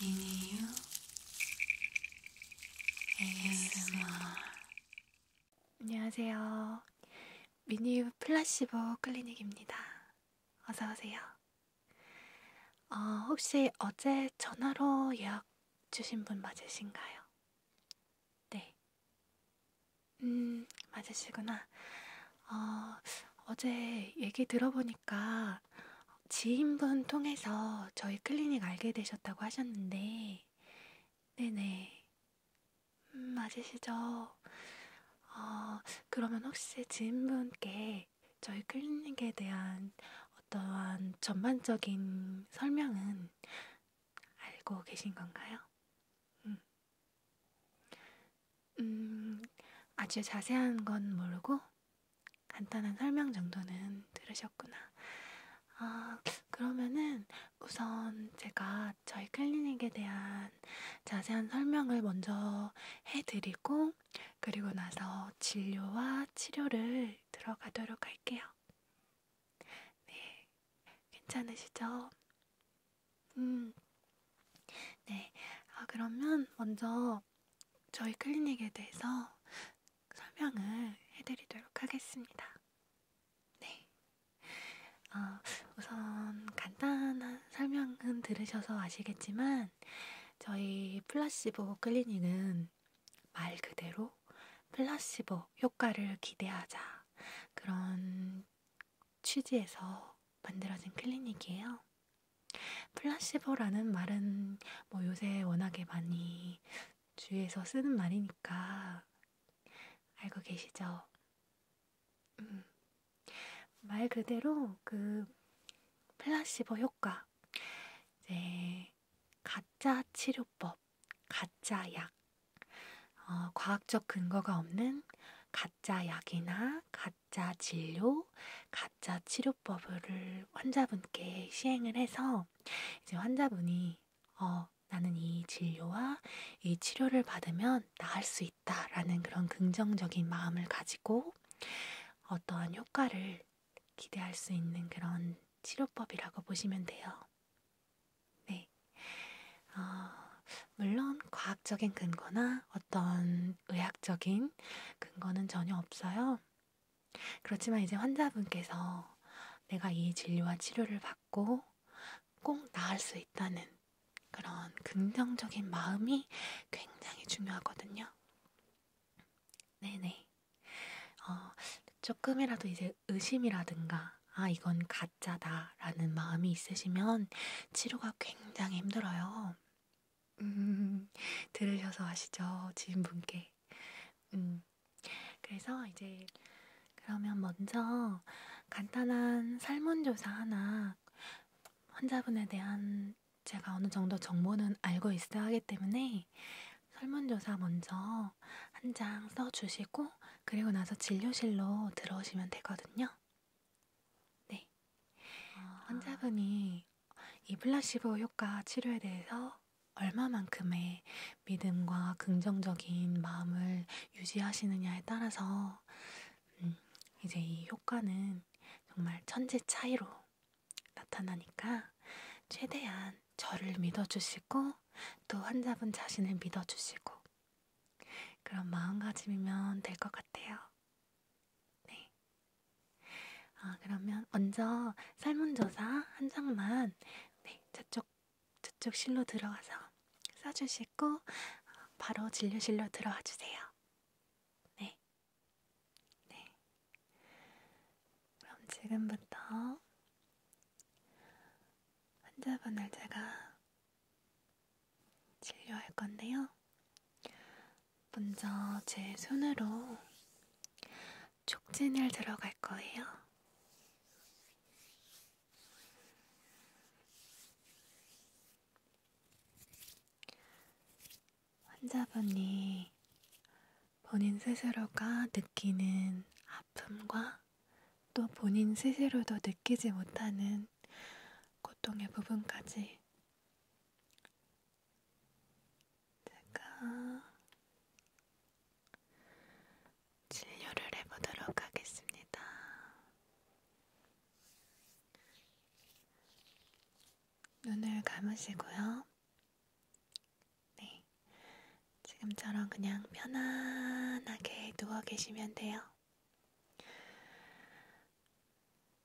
미니유 ASMR 안녕하세요. 미니유 플라시보 클리닉입니다. 어서오세요. 어, 혹시 어제 전화로 예약 주신 분 맞으신가요? 네. 음, 맞으시구나. 어, 어제 얘기 들어보니까 아까 지인분 통해서 저희 클리닉 알게 되셨다고 하셨는데, 네네. 음, 맞으시죠? 어, 그러면 혹시 지인분께 저희 클리닉에 대한 어떠한 전반적인 설명은 알고 계신 건가요? 음, 음 아주 자세한 건 모르고, 간단한 설명 정도는 들으셨구나. 아, 그러면은 우선 제가 저희 클리닉에 대한 자세한 설명을 먼저 해드리고, 그리고 나서 진료와 치료를 들어가도록 할게요. 네, 괜찮으시죠? 음, 네. 아, 그러면 먼저 저희 클리닉에 대해서 설명을 해드리도록 하겠습니다. 네. 어, 우선 간단한 설명은 들으셔서 아시겠지만, 저희 플라시보 클리닉은 말 그대로 플라시보 효과를 기대하자 그런 취지에서 만들어진 클리닉이에요. 플라시보라는 말은 뭐 요새 워낙에 많이 주위에서 쓰는 말이니까 알고 계시죠? 음. 말 그대로 그 플라시보 효과, 이제 가짜 치료법, 가짜 약, 어, 과학적 근거가 없는 가짜 약이나 가짜 가짜 진료, 가짜 치료법을 환자분께 시행을 해서 이제 환자분이 어, 나는 이 진료와 이 치료를 받으면 나을 수 있다라는 그런 긍정적인 마음을 가지고 어떠한 효과를 기대할 수 있는 그런 치료법이라고 보시면 돼요. 네. 어, 물론 과학적인 근거나 어떤 의학적인 근거는 전혀 없어요. 그렇지만 이제 환자분께서 내가 이 진료와 치료를 받고 꼭 나을 수 있다는 그런 긍정적인 마음이 굉장히 중요하거든요. 네네. 어, 조금이라도 이제 의심이라든가, 아, 이건 가짜다라는 마음이 있으시면 치료가 굉장히 힘들어요. 음, 들으셔서 아시죠? 지인분께. 음, 그래서 이제 그러면 먼저 간단한 설문조사 하나 환자분에 대한 제가 어느 정도 정보는 알고 있어야 하기 때문에 설문조사 먼저 한 장 써주시고 그리고 나서 진료실로 들어오시면 되거든요. 네. 아. 환자분이 이 플라시보 효과 치료에 대해서 얼마만큼의 믿음과 긍정적인 마음을 유지하시느냐에 따라서 음, 이제 이 효과는 정말 천재 차이로 나타나니까 최대한 저를 믿어주시고 또 환자분 자신을 믿어주시고 그런 마음가짐이면 될 것 같아요. 네. 아, 그러면 먼저 설문조사 한 장만 네, 저쪽, 저쪽 실로 들어가서 써주시고 어, 바로 진료실로 들어와 주세요. 네. 네. 그럼 지금부터 환자분을 제가 진료할 건데요. 먼저 제 손으로 촉진을 들어갈 거예요. 환자분이 본인 스스로가 느끼는 아픔과 또 본인 스스로도 느끼지 못하는 고통의 부분까지 제가 진료를 해보도록 하겠습니다. 눈을 감으시고요. 네. 지금처럼 그냥 편안하게 누워 계시면 돼요.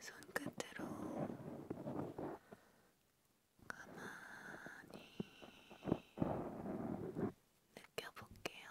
손끝으로 가만히 느껴볼게요.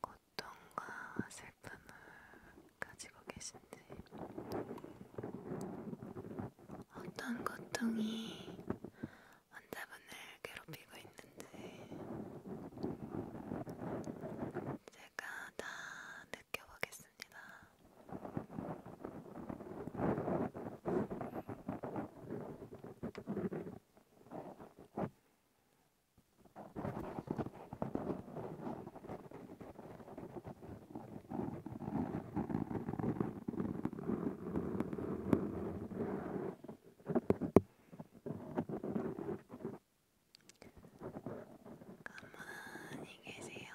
고통과 슬픔을 가지고 계신지, 어떤 고통이 환자분을 괴롭히고 있는지 제가 다 느껴보겠습니다. 가만히 계세요.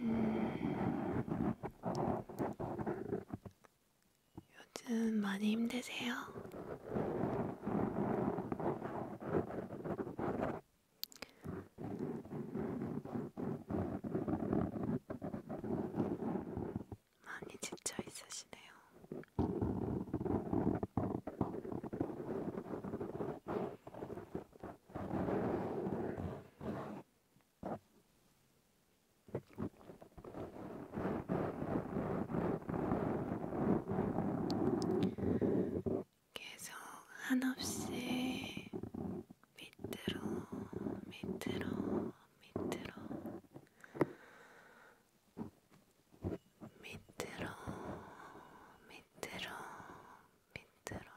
음, 요즘 많이 힘드세요? 많이 지쳐 있으시네요. 계속 한없이 밑으로 밑으로 밑으로 밑으로 밑으로 밑으로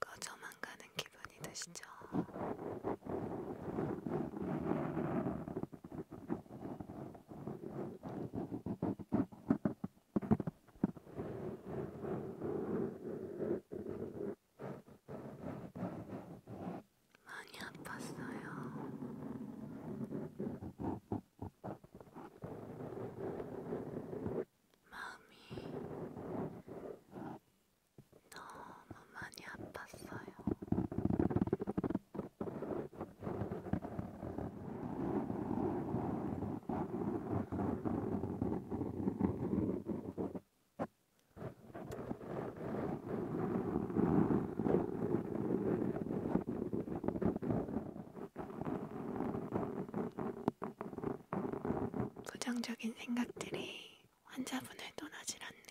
꺼져만 가는 기분이 드시죠? 많이 아팠어요. 마음이 너무 많이 아팠어요. 부정적인 생각들이 환자분을 떠나질 않네요.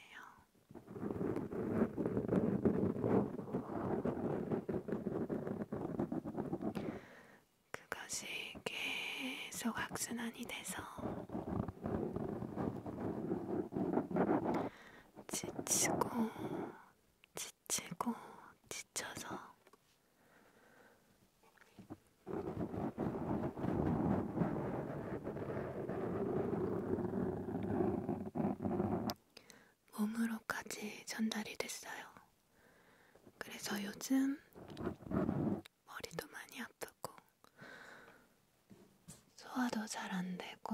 그것이 계속 악순환이 돼서 지치고 지치고 지쳐서 몸으로까지 전달이 됐어요. 그래서 요즘 머리도 많이 아프고 소화도 잘 안 되고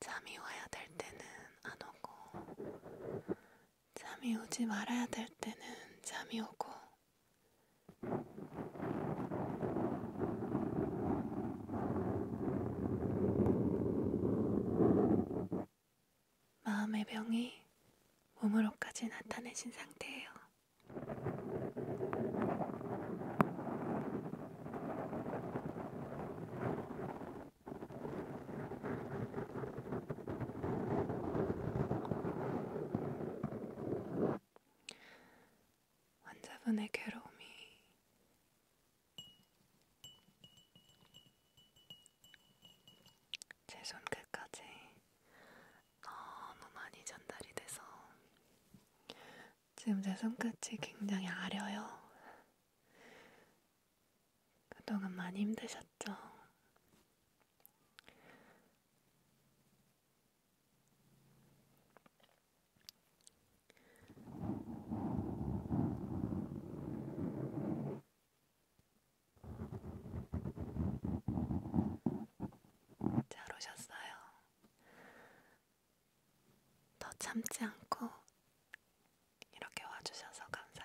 잠이 와야 될 때는 안 오고, 잠이 오지 말아야 될 때는 잠이 오고, 마음의 병이 몸으로까지 나타내신 상태예요. 환자분의 괴로움이 제 손끝까지 너무 많이 전달이 돼서 지금 제 손끝이 굉장히 아려요. 그동안 많이 힘드셨죠? 잘 오셨어요. 더 참지 않고 이렇게 와주셔서 감사해요.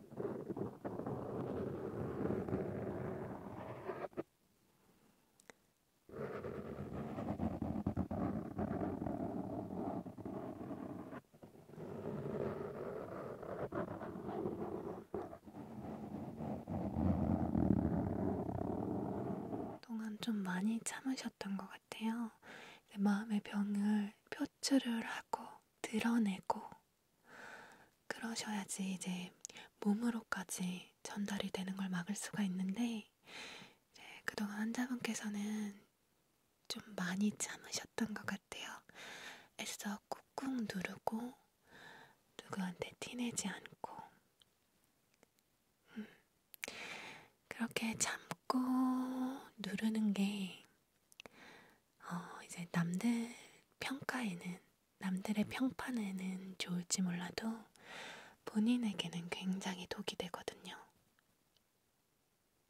동안 좀 많이 참으셨던 것 같아요. 마음의 병을 표출을 하고 드러내고 그러셔야지 이제 몸으로까지 전달이 되는 걸 막을 수가 있는데 네, 그동안 환자분께서는 좀 많이 참으셨던 것 같아요. 애써 꾹꾹 누르고 누구한테 티내지 않고 음, 그렇게 참고 누르는 게 어, 이제 남들 평가에는, 남들의 평판에는 좋을지 몰라도 본인에게는 굉장히 독이 되거든요.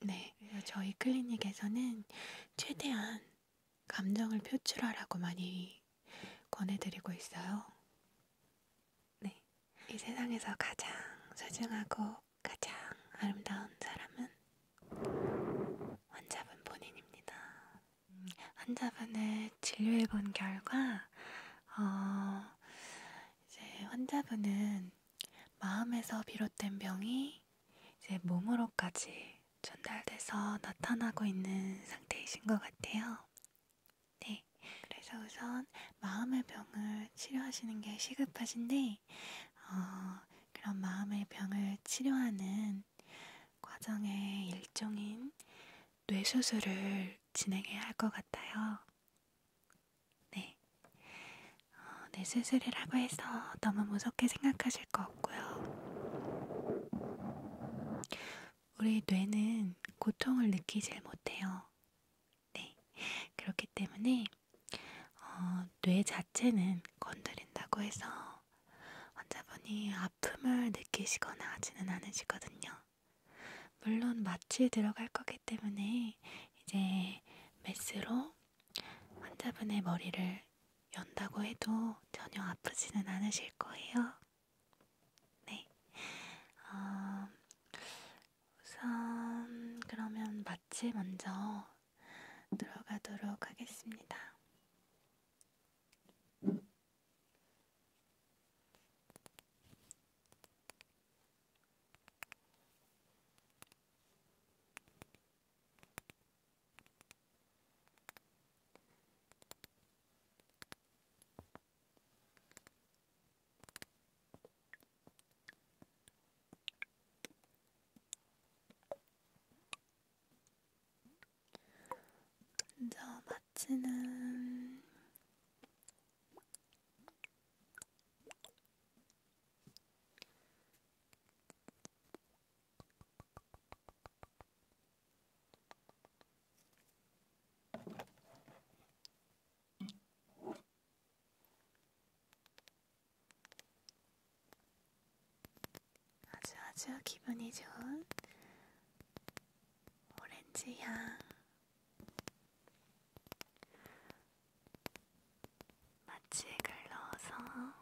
네, 저희 클리닉에서는 최대한 감정을 표출하라고 많이 권해드리고 있어요. 네, 이 세상에서 가장 소중하고 가장 아름다운 사람은 환자분 본인입니다. 음, 환자분을 진료해본 결과, 어, 이제 환자분은 마음에서 비롯된 병이 이제 몸으로까지 전달돼서 나타나고 있는 상태이신 것 같아요. 네. 그래서 우선 마음의 병을 치료하시는 게 시급하신데, 어, 그런 마음의 병을 치료하는 과정의 일종인 뇌수술을 진행해야 할 것 같아요. 네. 어, 뇌수술이라고 해서 너무 무섭게 생각하실 거 없고요. 우리 뇌는 고통을 느끼질 못해요. 네. 그렇기 때문에 어, 뇌 자체는 건드린다고 해서 환자분이 아픔을 느끼시거나 하지는 않으시거든요. 물론 마취에 들어갈 거기 때문에 이제 메스로 환자분의 머리를 연다고 해도 전혀 아프지는 않으실 거예요. 네. 어, 우선 그러면 같이 먼저 들어가도록 하겠습니다. 먼저 마치는 아주 아주 기분이 좋은 오렌지 향 마취액을 넣어서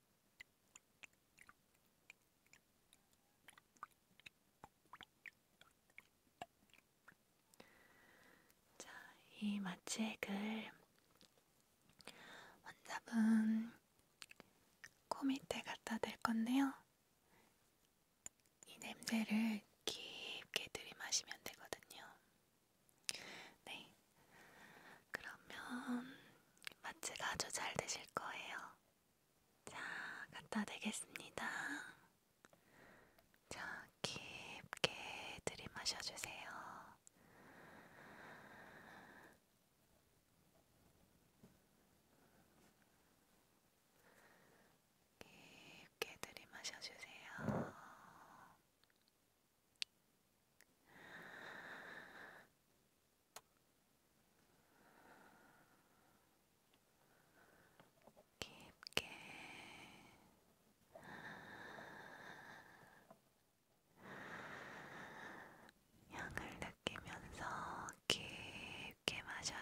자, 이 마취액을 환자분 코 밑에 갖다 댈 건데요. 이 냄새를 깊게 들이마시면 되거든요. 네. 그러면 마취가 아주 잘 되실 거예요. 자, 갖다 대겠습니다. 자, 깊게 들이마셔 주세요. 깊게 들이마셔 주세요. 깊게 향을 느끼면서 깊게 마셔요.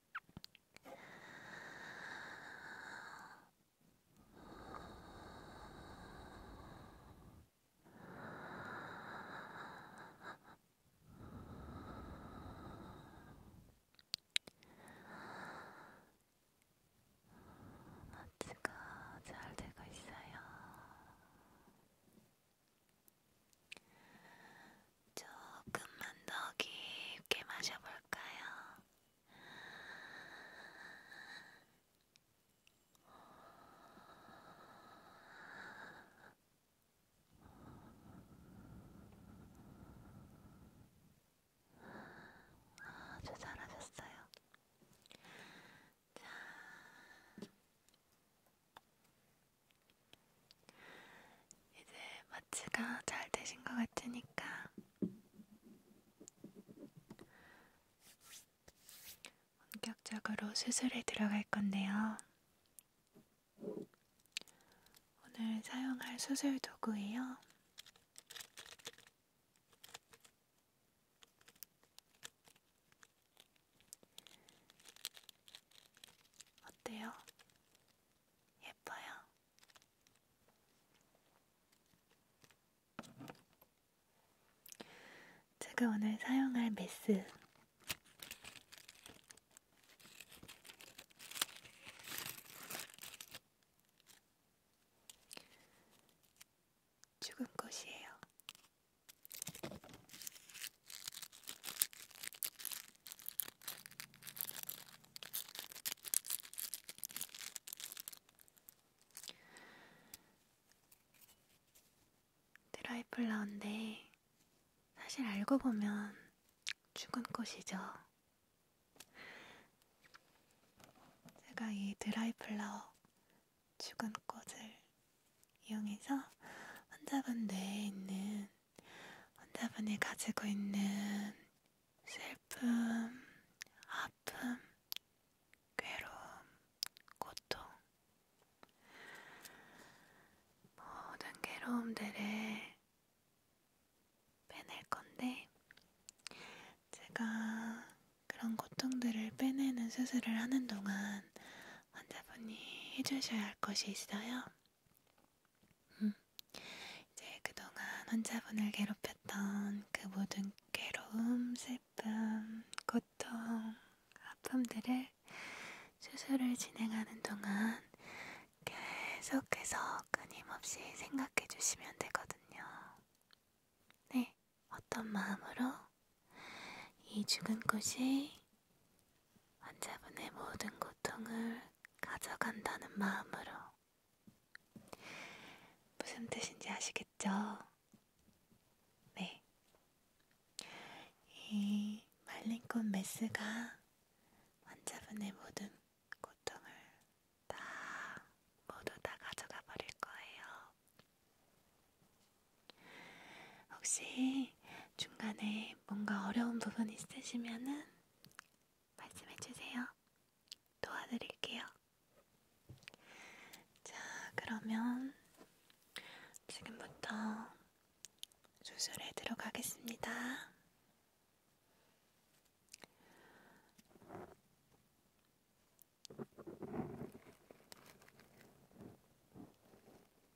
마취가 잘 되고 있어요. 조금만 더 깊게 마셔볼까요? 아주 잘하셨어요. 자, 이제 마취가 잘 되신 것 같으니까 본격적으로 수술에 들어갈 건데요. 오늘 사용할 수술 도구예요. 어때요? 예뻐요. 제가 오늘 사용할 메스 죽은 꽃이에요. 드라이플라운데 사실 알고 보면 죽은 꽃이죠. 제가 이 드라이플라워 죽은 꽃을 이용해서 환자분 뇌에 있는 환자분이 가지고 있는 슬픔, 아픔, 괴로움, 고통, 모든 괴로움들을 빼낼 건데, 제가 그런 고통들을 빼내는 수술을 하는 동안 환자분이 해주셔야 할 것이 있어요. 음. 이제 그동안 혼자분을 괴롭혔던 그 모든 괴로움, 슬픔, 고통, 아픔들을 수술을 진행하는 동안 계속해서 끊임없이 생각해 주시면 되거든요. 네, 어떤 마음으로 이 죽은 꽃이 환자분의 모든 고통을 가져간다는 마음으로. 무슨 뜻인지 아시겠죠? 네. 이 말린 꽃 메스가 환자분의 모든 고통을 다 모두 다 가져가 버릴 거예요. 혹시 중간에 뭔가 어려운 부분 있으시면은 말씀해 주세요. 도와드릴게요. 자, 그러면 지금부터 수술에 들어가겠습니다.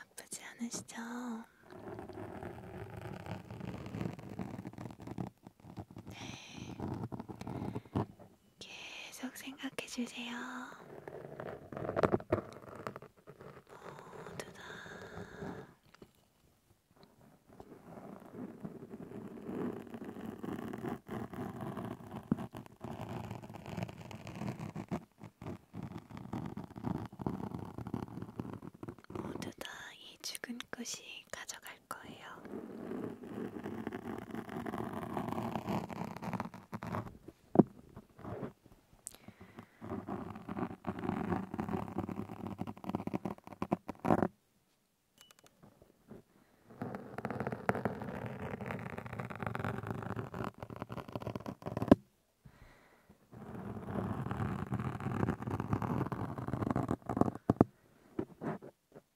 아프지 않으시죠? 네. 계속 생각해 주세요. 모두 다 모두 다 이 죽은 꽃이 가져갈 거예요.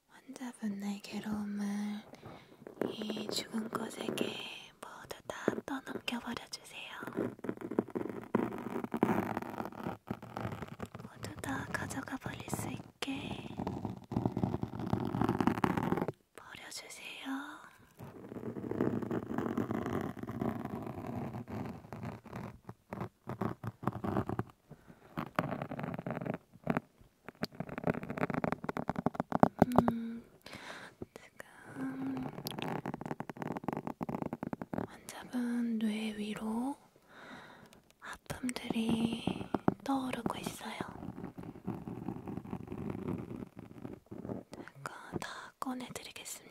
환자분의 괴로움을 이 죽은 것에게 모두 다 떠넘겨 버려주세요. 모두 다 가져가 버릴 수 있게 버려주세요. 음, 지금 환자분 뇌 위로 아픔들이 떠오르고 있어요. 제가 다 꺼내드리겠습니다.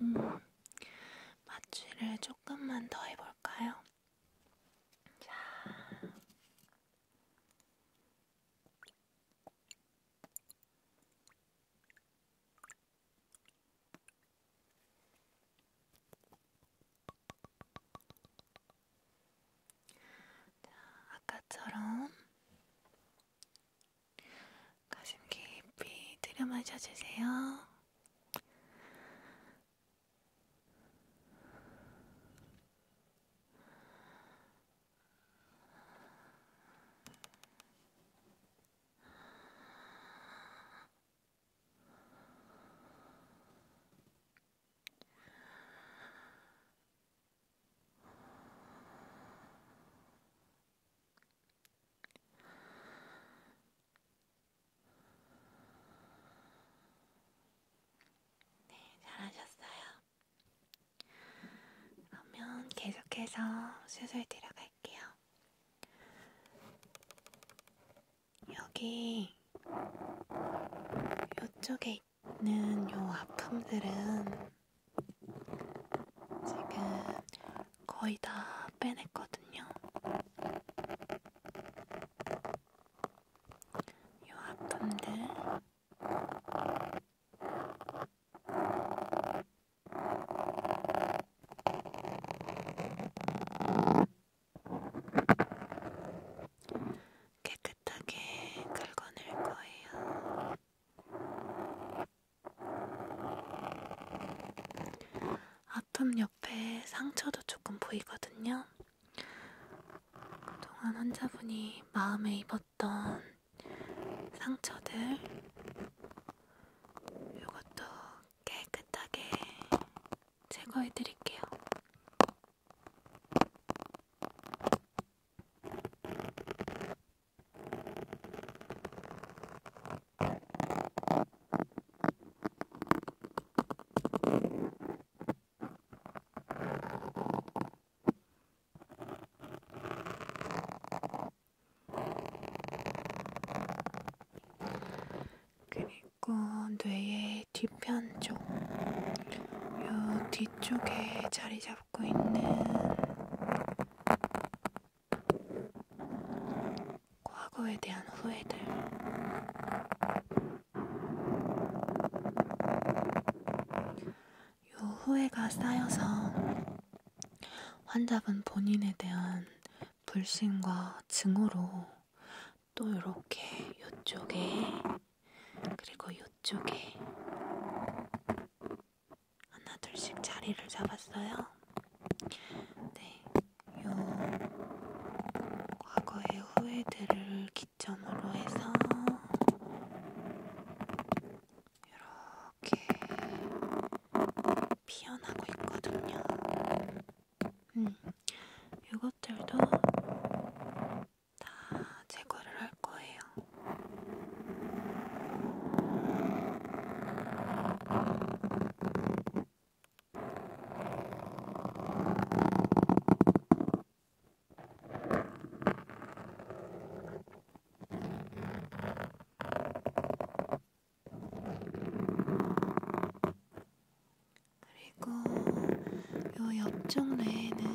음, 마취를 조금만 더 해볼까요? 자. 자, 아까처럼 가슴 깊이 들여 마셔주세요. 네, 잘하셨어요. 그러면 계속해서 수술 들어갈게요. 여기 이쪽에 있는 요 아픔들은 지금 거의 다 빼냈거든요. 요 아픔들 깨끗하게 긁어낼 거예요. 아픔 옆에 상처도 조금 보이거든요. 그동안 환자분이 마음에 입었던 상처들, 이것도 깨끗하게 제거해 드릴게요. 그리고 뇌의 뒤편 쪽, 요 뒤쪽에 자리 잡고 있는 과거에 대한 후회들. 요 후회가 쌓여서 환자분 본인에 대한 불신과 증오로 또 이렇게 이쪽에 그리고 이쪽에 하나 둘씩 자리를 잡았어요. 네, 요 과거의 후회들을 기점으로 해서 이렇게 피어나고 있거든요. 음, 이것들도 다 제거를 할 거예요. 그리고 요 옆쪽 뇌에는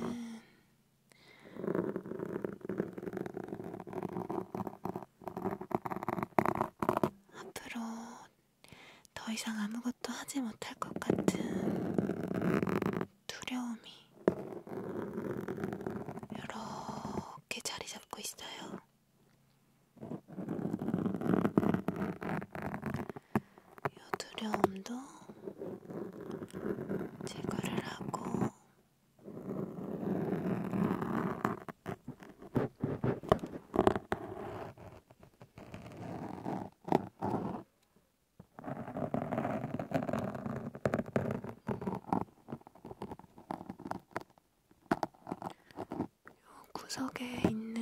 앞으로 더 이상 아무것도 하지 못할 것 같은 두려움이 이렇게 자리 잡고 있어요. 요 두려움도 제거를 하고 요 구석에 있는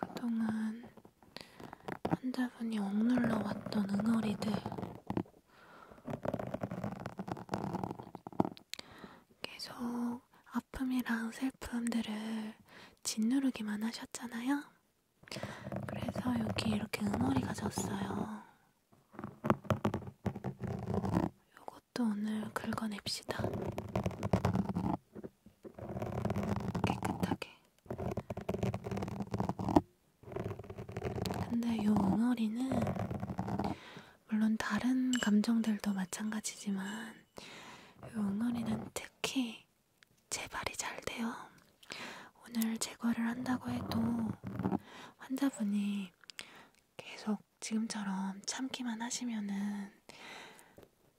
그동안 환자분이 억눌러 왔던 응어리들 계속 아픔이랑 슬픔들을 짓누르기만 하셨잖아요. 그래서 여기 이렇게 응어리가 졌어요. 요것도 오늘 긁어냅시다. 깨끗하게. 근데 요 응어리는 물론 다른 감정들도 마찬가지지만 요 응어리는 특히 재발이 잘 돼요. 오늘 제거를 한다고 해도 환자분이 계속 지금처럼 참기만 하시면은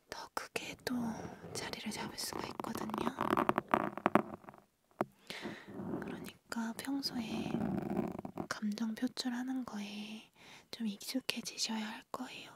더 크게 또 자리를 잡을 수가 있거든요. 그러니까 평소에 감정 표출하는 거에 좀 익숙해지셔야 할 거예요.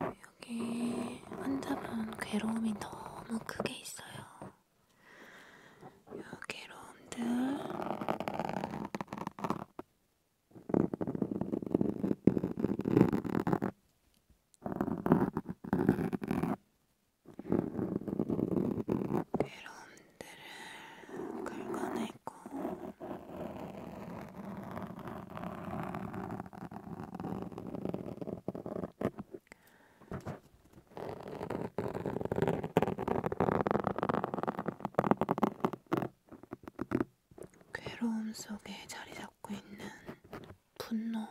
여기 환자분 괴로움이 너무 크게 있어요. 요 괴로움들 괴로움들을 긁어내고 괴로움 속에 자리 잡고 있는 분노.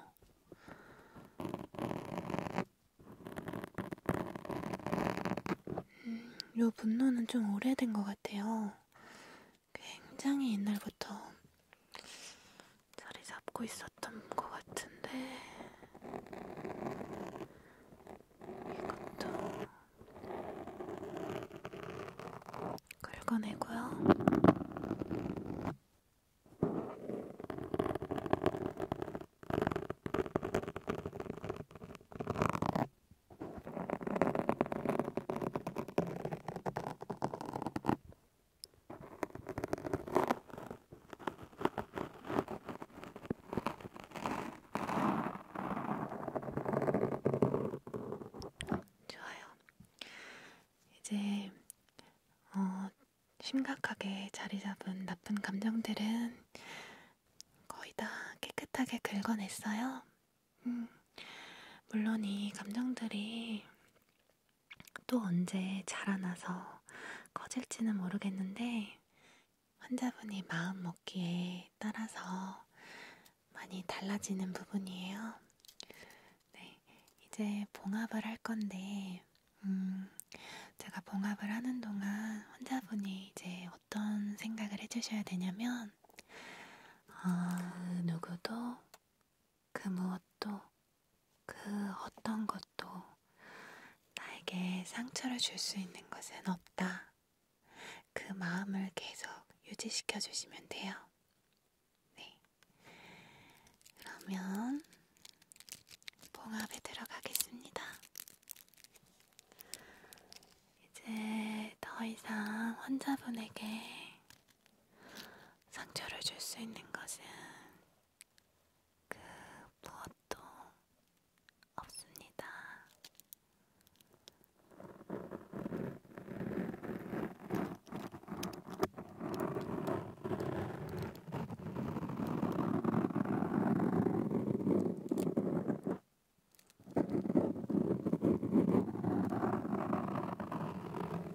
음, 요 분노는 좀 오래된 것 같아요. 굉장히 옛날부터 자리 잡고 있었던 것 같은데 이것도 긁어내고요. 좋아요. 이제 어, 심각하게 자리 잡은 나쁜 감정들은 거의 다 깨끗하게 긁어냈어요. 음, 물론 이 감정들이 또 언제 자라나서 커질지는 모르겠는데 환자분이 마음 먹기에 따라서 많이 달라지는 부분이에요. 네, 이제 봉합을 할 건데, 음, 제가 봉합을 하는 동안 환자분이 이제 어떤 생각을 해주셔야 되냐면, 어, 아, 누구도 그 무엇도 그 어떤 것도 나에게 상처를 줄 수 있는 것은 없다. 그 마음을 계속 유지시켜 주시면 돼요. 네. 그러면 봉합에 들어가겠습니다. 이제 더 이상 환자분에게 상처를 줄 수 있는 것은 그 무엇도 없습니다.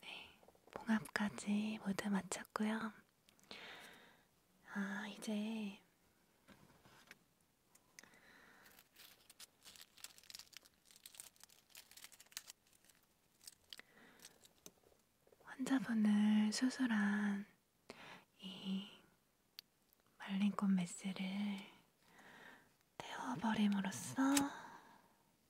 네, 봉합까지 모두 마쳤고요. 아, 이제 환자분을 수술한 이 말린 꽃 메스를 태워버림으로써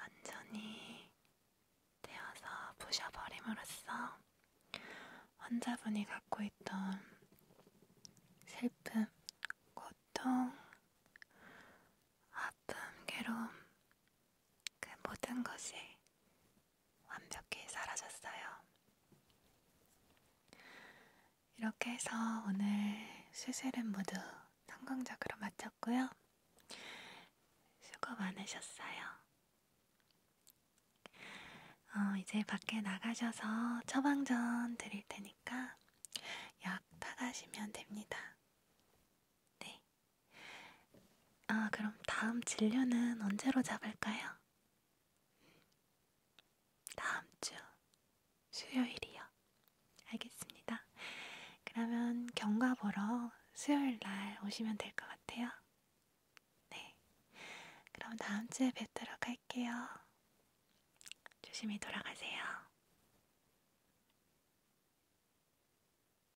완전히 떼어서 부셔버림으로써 환자분이 갖고 있던 슬픔, 고통, 아픔, 괴로움, 그 모든 것이 완벽히 사라졌어요. 이렇게 해서 오늘 수술은 모두 성공적으로 마쳤고요. 수고 많으셨어요. 어, 이제 밖에 나가셔서 처방전 드릴 테니까 약 타가시면 됩니다. 네. 아, 그럼 다음 진료는 언제로 잡을까요? 다음 주 수요일이요. 알겠습니다. 그러면 경과 보러 수요일 날 오시면 될 것 같아요. 네. 그럼 다음 주에 뵙도록 할게요. 조심히 돌아가세요.